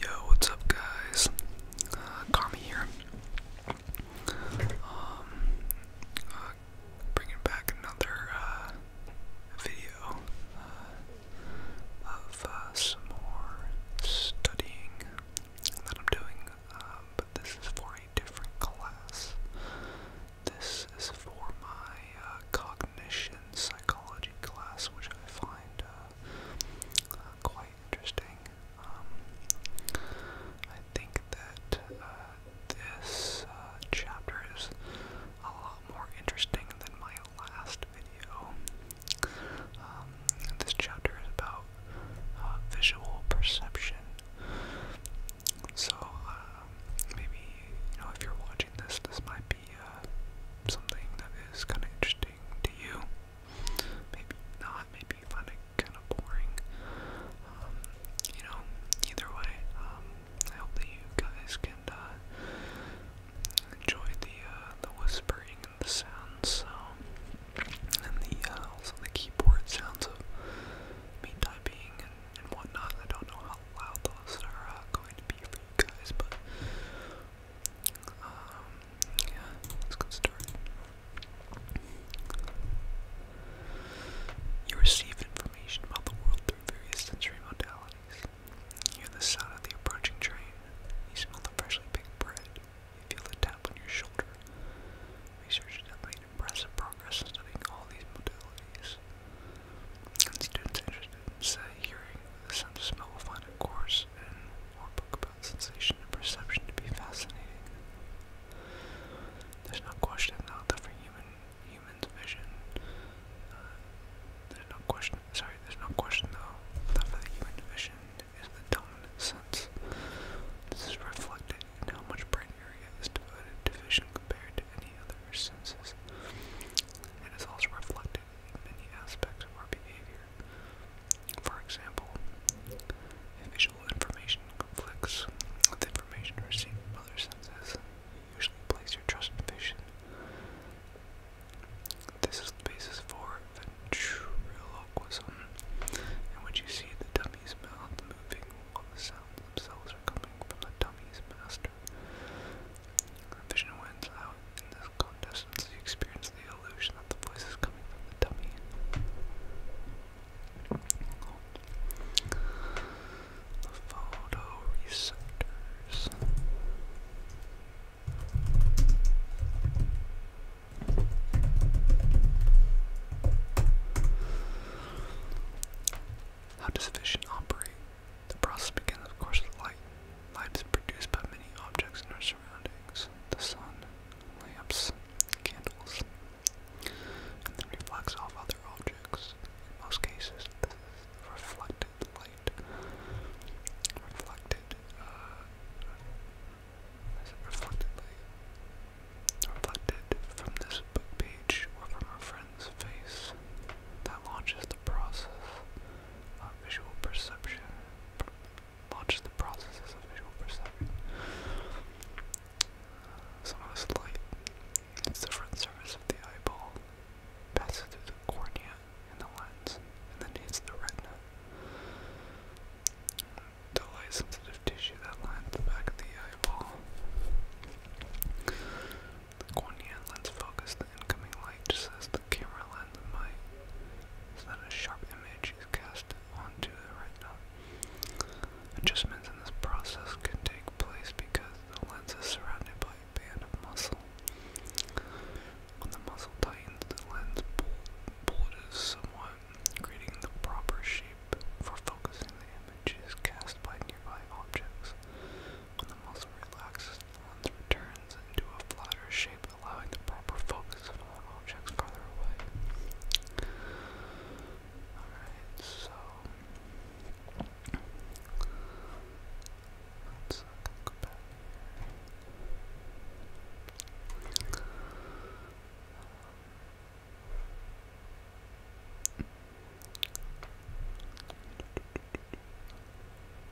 Yo, what's up, guys? Uh, Kami here. Um, uh, bringing back another uh, video uh, of uh, some more studying that I'm doing, um, but this is for a different class. This is for my uh, cognition psychology class, which I find uh, uh, quite interesting. Um, I think that uh, this chapter is a lot more interesting than my last video. Um, this chapter is about visual perception. So, maybe, you know, if you're watching this, this might be uh, something that is kind of interesting to you. Maybe not. Maybe you kind of boring. Um, you know, either way, um, I hope that you guys can uh, enjoy the uh, the whispering and the sounds, and the uh, also the keyboard sounds of me typing and, and whatnot. I don't know how loud those are uh, going to be for you guys, but let's get started. You receive information about the world through various sensory modalities. You hear the sound of the approaching train. You smell the freshly baked bread. You feel the tap on your shoulder. Researchers have made impressive progress in studying all these modalities. And students' interest it's hearing, the sense of smell will find a course And more book about sensation and perception to be fascinating. There's no question, though, that for human humans' vision, uh, there's no question. Sorry, there's no question though that for the human vision is the dominant sense. This is reflected in how much brain area is devoted to vision compared to any other senses. And It is also reflected in many aspects of our behavior. For example, if visual information conflicts with information received from other senses, you usually place your trust in vision. This is the basis for ventriloquism, in you see the dummy's mouth moving while the sounds themselves are coming from the dummy's master. Vision wins out this contestants experience the illusion that the voice is coming from the dummy. The photoreceptors. How does vision operate? The process begins, of course, with light. Light is produced by many objects in our surroundings the sun, lamps, candles, and then reflects off other objects. In most cases, this is reflected light. Reflected, uh, reflected light? Reflected from this book page or from our friend's face that launches the process uh, visual perception, watch the processes of visual perception. Some of this light, its different surface of the eyeball, passes through the cornea and the lens, and then hits the retina. The light sensitive tissue that lines the back of the eyeball Guan Yan lens focus the incoming light just as the camera lens might, so that a sharp image is cast onto the retina. Adjustments in this process can take place because the lens is surrounded by a band of muscle. When the muscle tightens, the lens bulges somewhat, creating the proper shape for focusing the images cast by nearby objects. When the muscle relaxes, the lens returns into a flatter shape, allowing the proper focus of all objects farther away. Alright, so let's uh, go back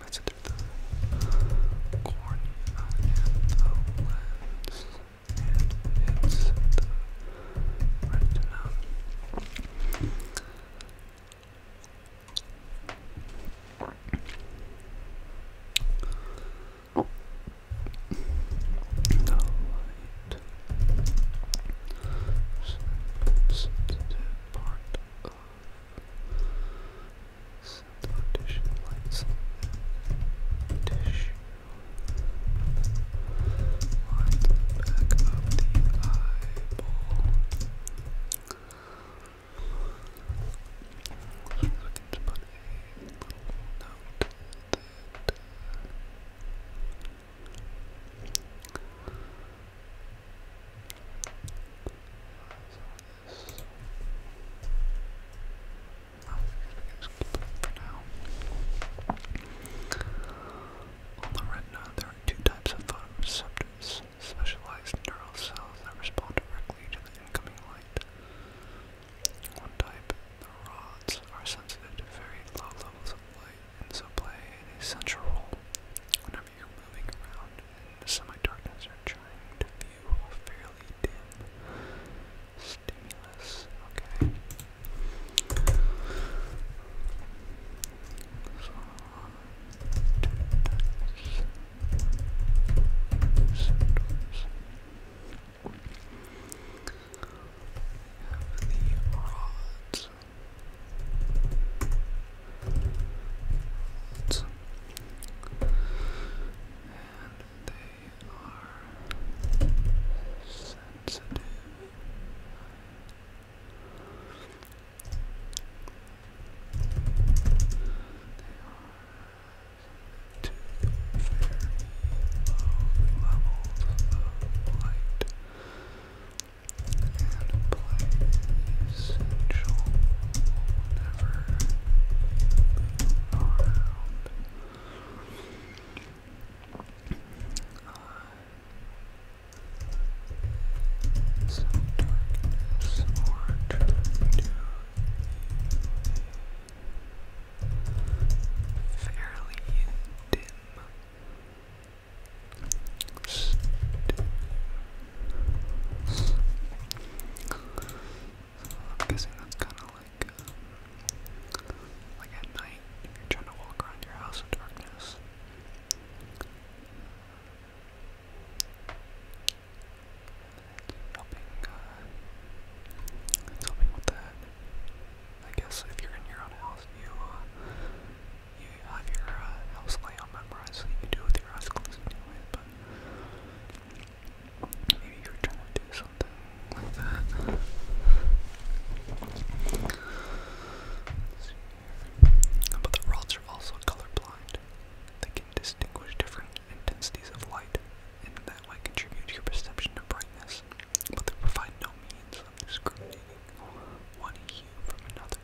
That's it the cornea and the lens and Oh. All right. Sensitive part of sensitive tissue, light back of the eyeball. On the retina, there are two types of photoreceptors. Specialized neural cells that respond directly to the incoming light, one type, the rods, are sensitive to very low levels of light and so play an essential role whenever you're moving around in the semi-darkness or trying to view a fairly dim stimulus. Okay. Uh, Oops, oops. We have the rods. And they are sensitive to very low levels of light essential whenever you around. Uh, some darkness fairly dim. so I'm guessing that's kind of like, um, like at night trying to walk around your house in darkness helping, uh, helping with that. I guess if you're in your own house, you, uh, you have your uh, house layout memorized, so you can do it with your eyes closed anyway, but maybe you're trying to do something like that. But the rods are also colorblind distinguish different intensities of light, and that might contribute to your perception of brightness, but they provide no means of discriminating one hue from another.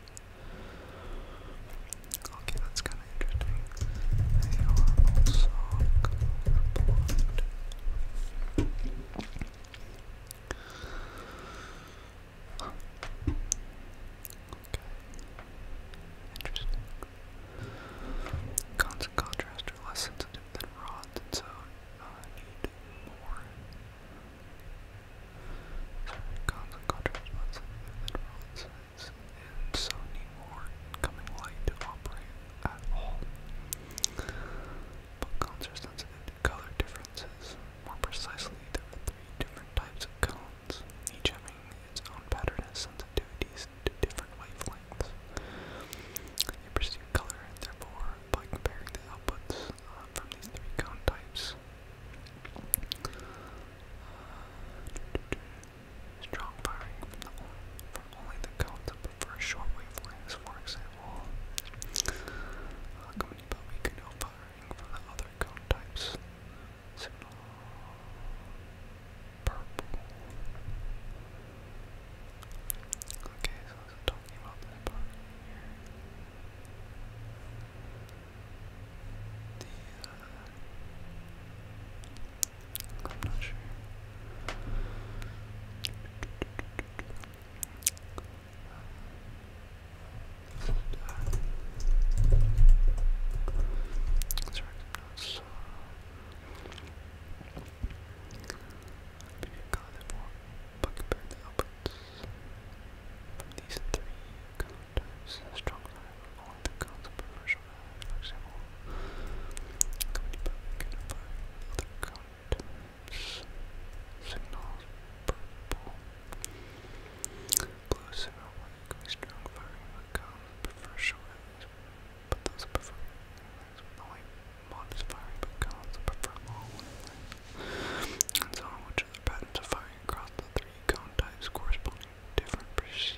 Okay, that's kind of interesting. They are also colorblind. Okay. Interesting. Cons and contrast are less sensitive than rods, so uh, need more. Sorry, cons and contrast are less sensitive than rods, so need more incoming light to operate at all. But cones are sensitive to color differences. More precisely, there are three different types of cones, each having its own pattern has sensitivities to different wavelengths. You perceive color, therefore, by comparing the outputs uh, from these three cone types. Uh, strong firing from, the, from only the cones that prefer short wavelengths, for example, accompanied uh, by weaker no firing from the other cone types signal purple. Okay, so talking about this The, I'm not sure. Sorry, so, Maybe I got it for Buckbear From these three counters, strong rival only the guns example. Company public can fire other Signals purple. Blue signal strong firing the guns of but those prefer legs with only modest firing prefer long and so on which other patterns of firing across the three cone types corresponding to different perceived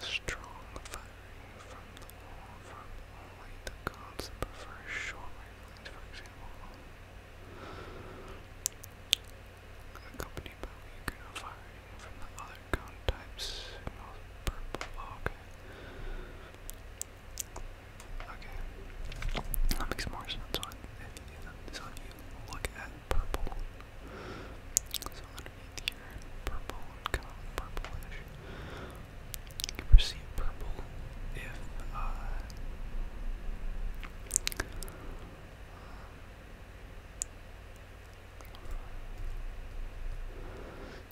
Strong firing from the wall from the gods that prefer short wavelengths, for example. Accompanied by weaker from the other cone types, purple. okay. Okay. That makes more sense on if, if, you look at purple so underneath here, purple would come purplish. You perceive purple if uh,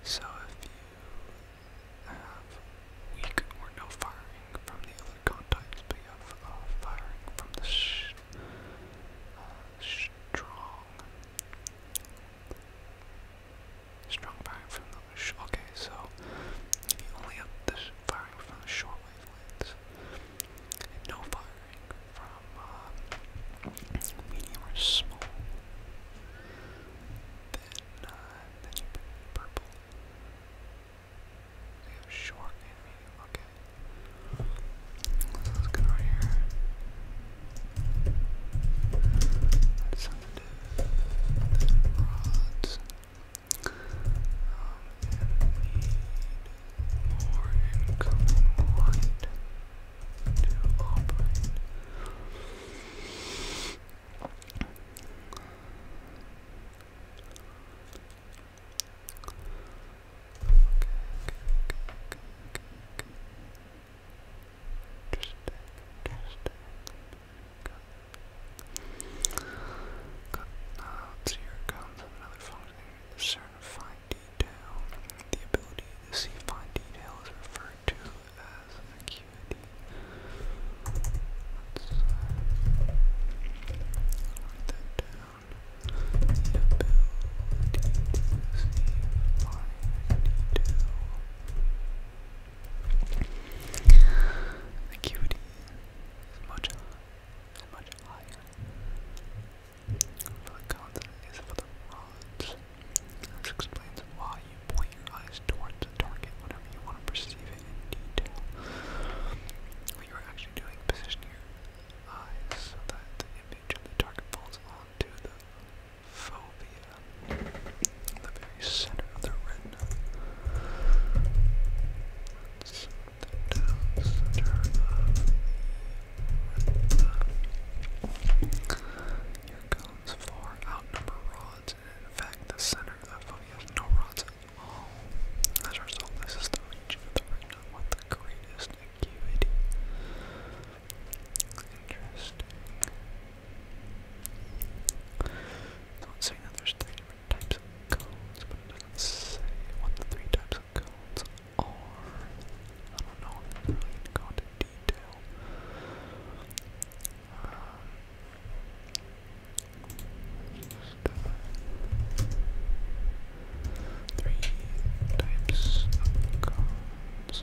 so if you have weak or no firing from the contacts, but you uh, firing from the uh, strong. Strong firing from the okay, so you only have this firing from the short wavelengths, and no firing from uh, medium or small. Then, then you put purple. Damn short animated, look at it. here. Sensitive, rods. Um, need more incoming light to operate. Cut now to your comes of another functioning discern fine detail. The ability to see fine detail is referred to as acuity. let uh, that down the Acuity is much, higher. For the consonant is for the rods. This explains why you point your eyes towards a target whenever you want to perceive it in detail. What you are actually doing, positioning eyes that the image of the target falls onto the fovea, the very center of the retina. That's the center of the cones far outnumber rods, in fact, the center of the fovea has no rods um, as a result, this is the region of the retina with the greatest acuity. Interesting. So it's saying that there's three different types of cones, but it doesn't say what the three types of cones are. I don't know if it's really going to go into detail. Um, Three types of cards.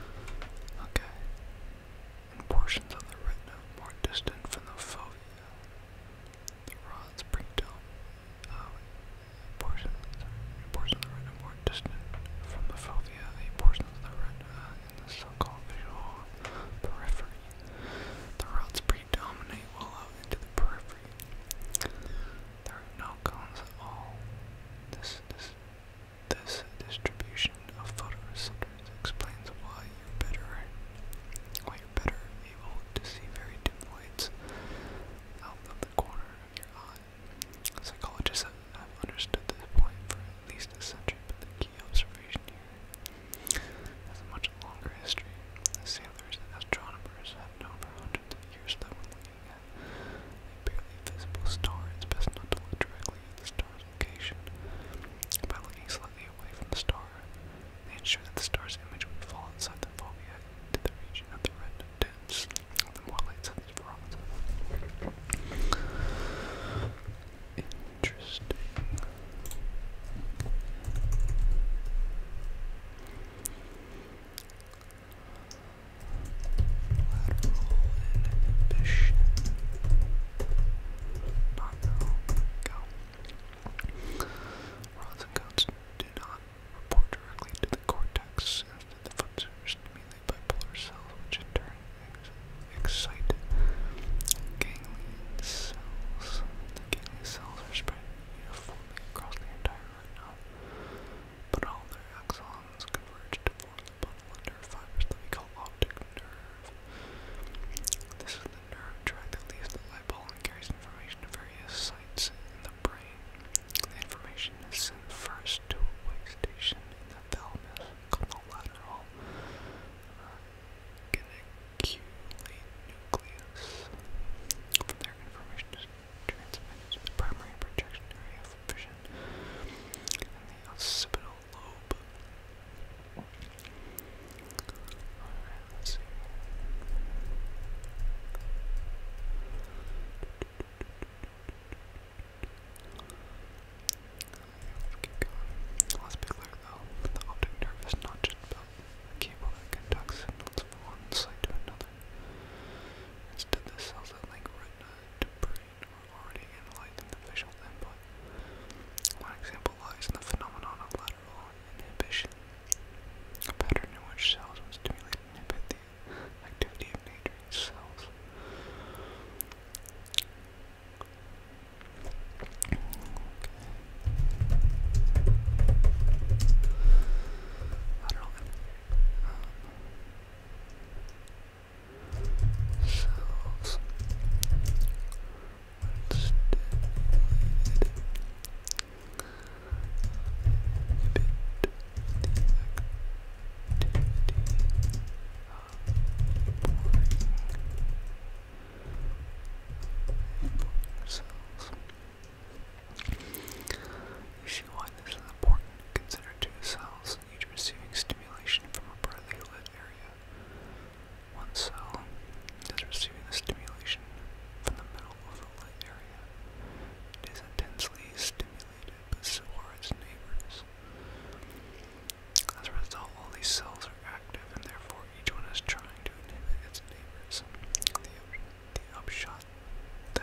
Okay. And portions of the retina more distant from the fovea. The rod's brainstem, uh, portion, of the retina more distant from the fovea, a portion of the retina in the so-called visual periphery. The rods predominate well out into the periphery. There are no cones at all. This, this this distribution of photoreceptors explains why you're better why you're better able to see very dim lights out of the corner of your eye. Psychologists have, understood this point for at least a century, but the key observation here has a much longer history. The sailors and astronomers have known for hundreds of years that a barely visible star, it's best not to look directly at the star's location. By looking slightly away from the star, they ensure that the star's image would fall inside the fovea into the region of the retina dense, the more light-sensitive horizon. Interesting. Lateral inhibition. Binaural. do not report directly to the cortex, the foot sensors immediately bipolar cells, which in turn excite ganglion cells. ganglion cells are spread uniformly across the entire retina, but all their axons converge form optic nerve. This is the nerve tract that leaves the light and carries information to various sites in the brain. The information is sent first to a way station in the thalamus called the lateral geniculate nucleus. From there, information is transmits the primary projection vision and the occipital lobe. Alright, let's Keep going. Let's be clear though, the optic nerve is not just about a cable that conducts signals from one side to another. Instead, the cells that link retina brain are already analyzing the visual input. One example lies in the phenomenon of lateral inhibition, a pattern in which cells stimulated inhibit the activity of neighboring cells cells stimulated activity cells why this is important. Consider two cells, each receiving stimulation from a brightly lit area. One cell is receiving the stimulation from the middle of the light area. It is intensely stimulated, but so are its neighbors. As a result, all these cells are active, and therefore each one is trying to inhibit its neighbors. the upshot the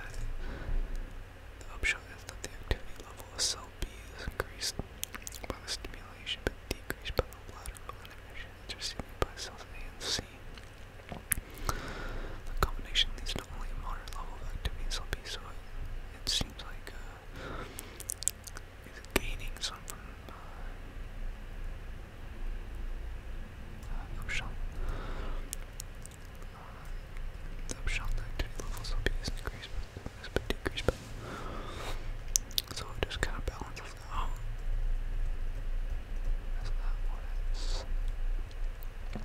upshot is that the activity level of cell is increased by the stimulation but decreased by the lateral inhibition that's by cells A and C. The combination leads to only a moderate level of activity in so it, seems like uh, it's gaining some from uh, uh, upshot the upshot activity levels will be increased, but decreased, but so it just kind of balances out. That's I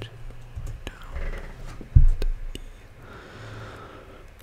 do also want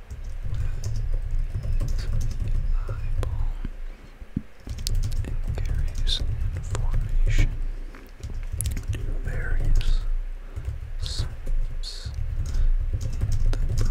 eyeball and carries information to various sites in the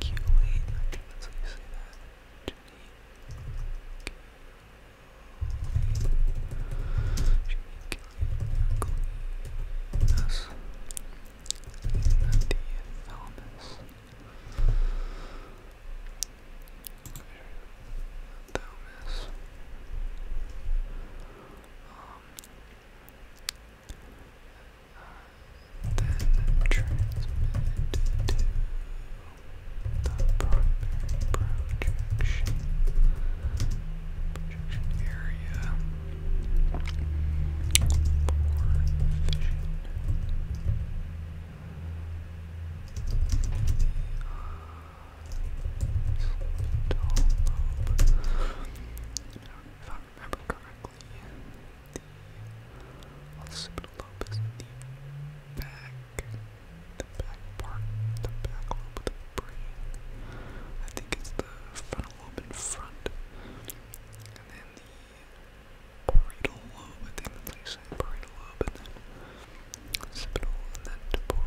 Geniculate, that's how you say that. Geniculate. Yes. The then transmitted to the primary projection projection area for vision. The, uh, lobe. If I remember correctly, the Alcibiade Lopez in the back, the back part, the back lobe of the brain. I think it's the frontal lobe in front, and then the parietal lobe, I think that's like parietal lobe, and then occipital, and then temporal lobe.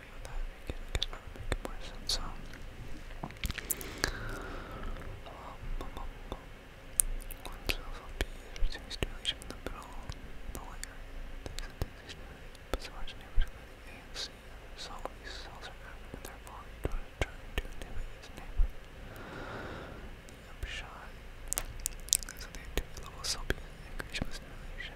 I thought we could to make in the middle the layer. This is the stimulation, but so much neighbors go to the So these cells are active and therefore you to try neighbor. The upshot is that the activity level of cell B is increased with stimulation.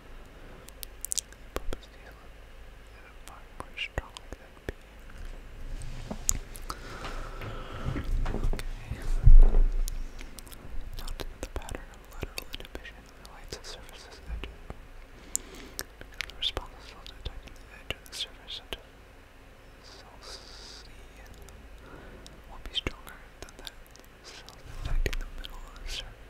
Pump is the pattern of lateral inhibition relates to surfaces edges. Because the response is also the edge of the surface such will be stronger than that cell attacking the middle of the surface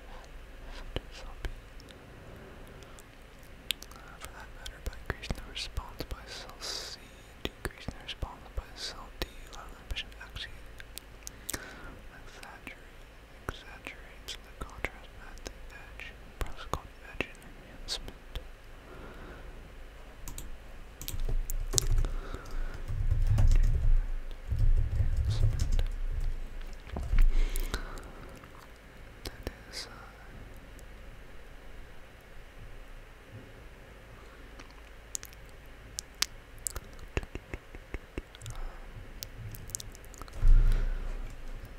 uh, for that matter, by increasing the response by cell C decreasing the response by cell D, Lowland exaggerates the contrast at the edge, proscott edge enhancement. Edge that is uh,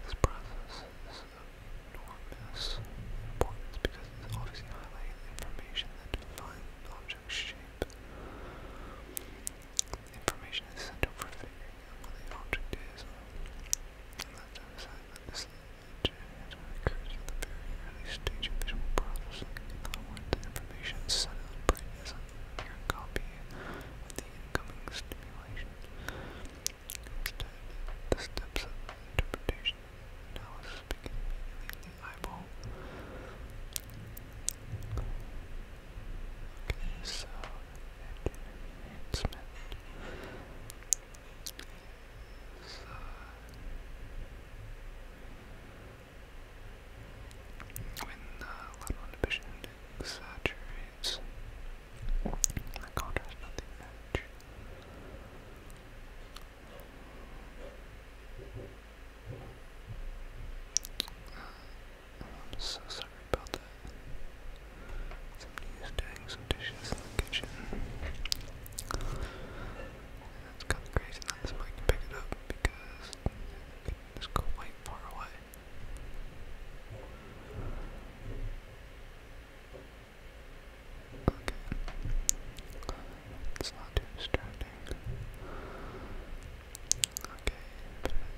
this process is of enormous importance because it's obviously highlighting information that defines an shape information is central for figuring out what the object is. And left out of sight, that this engine the very early stage of visual processing. In other words, information is sent out brain as a mere copy of the incoming stimulation. the steps of interpretation and begin in the eyeball. Okay, so enhancement. So when the uh, lateral inhibition exaggerates, the contrast of the edge. I'm so sorry about that. Somebody doing some dishes in the kitchen. It's kind of crazy not this mic to it up because it's quite far away. Okay. It's not too distracting. Okay,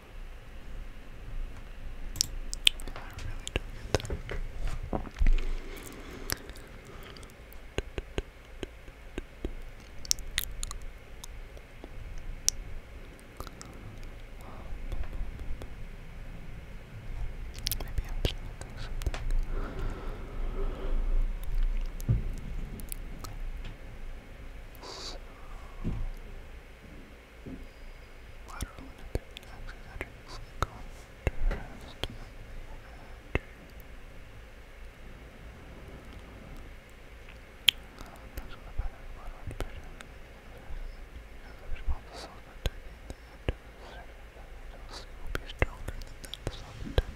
I really don't get that. Maybe I'm just missing something. Six. Lateral independent axis enters in contrast with the uh, next one, the pattern of to self attacking the end of will be stronger than that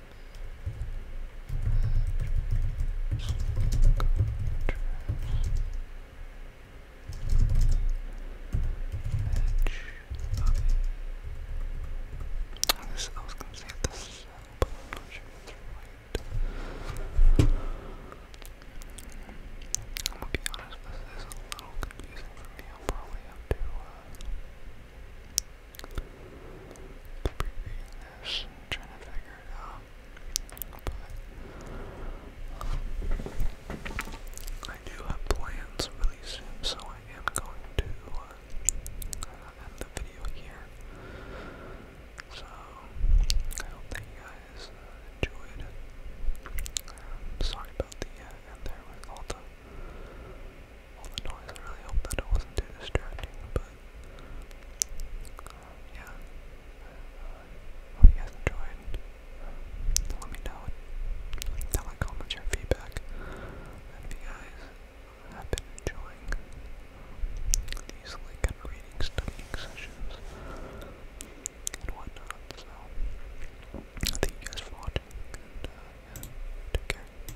This, I was going to say this is but I'm not sure if it's right. I'm going to be honest, this is a little confusing for me. I'll probably have to uh, trying to figure it out. But um, I do have plans really soon, so I am going to uh, end the video here. So I hope that you guys uh, enjoyed. Um, sorry about the uh, end there with all all the noise. I really hope that it wasn't too distracting, but yeah. Uh, hope you guys enjoyed. let me know down in the comments your feedback if you guys have been enjoying these like reading, studying sessions and whatnot. So thank you guys for watching uh, take care.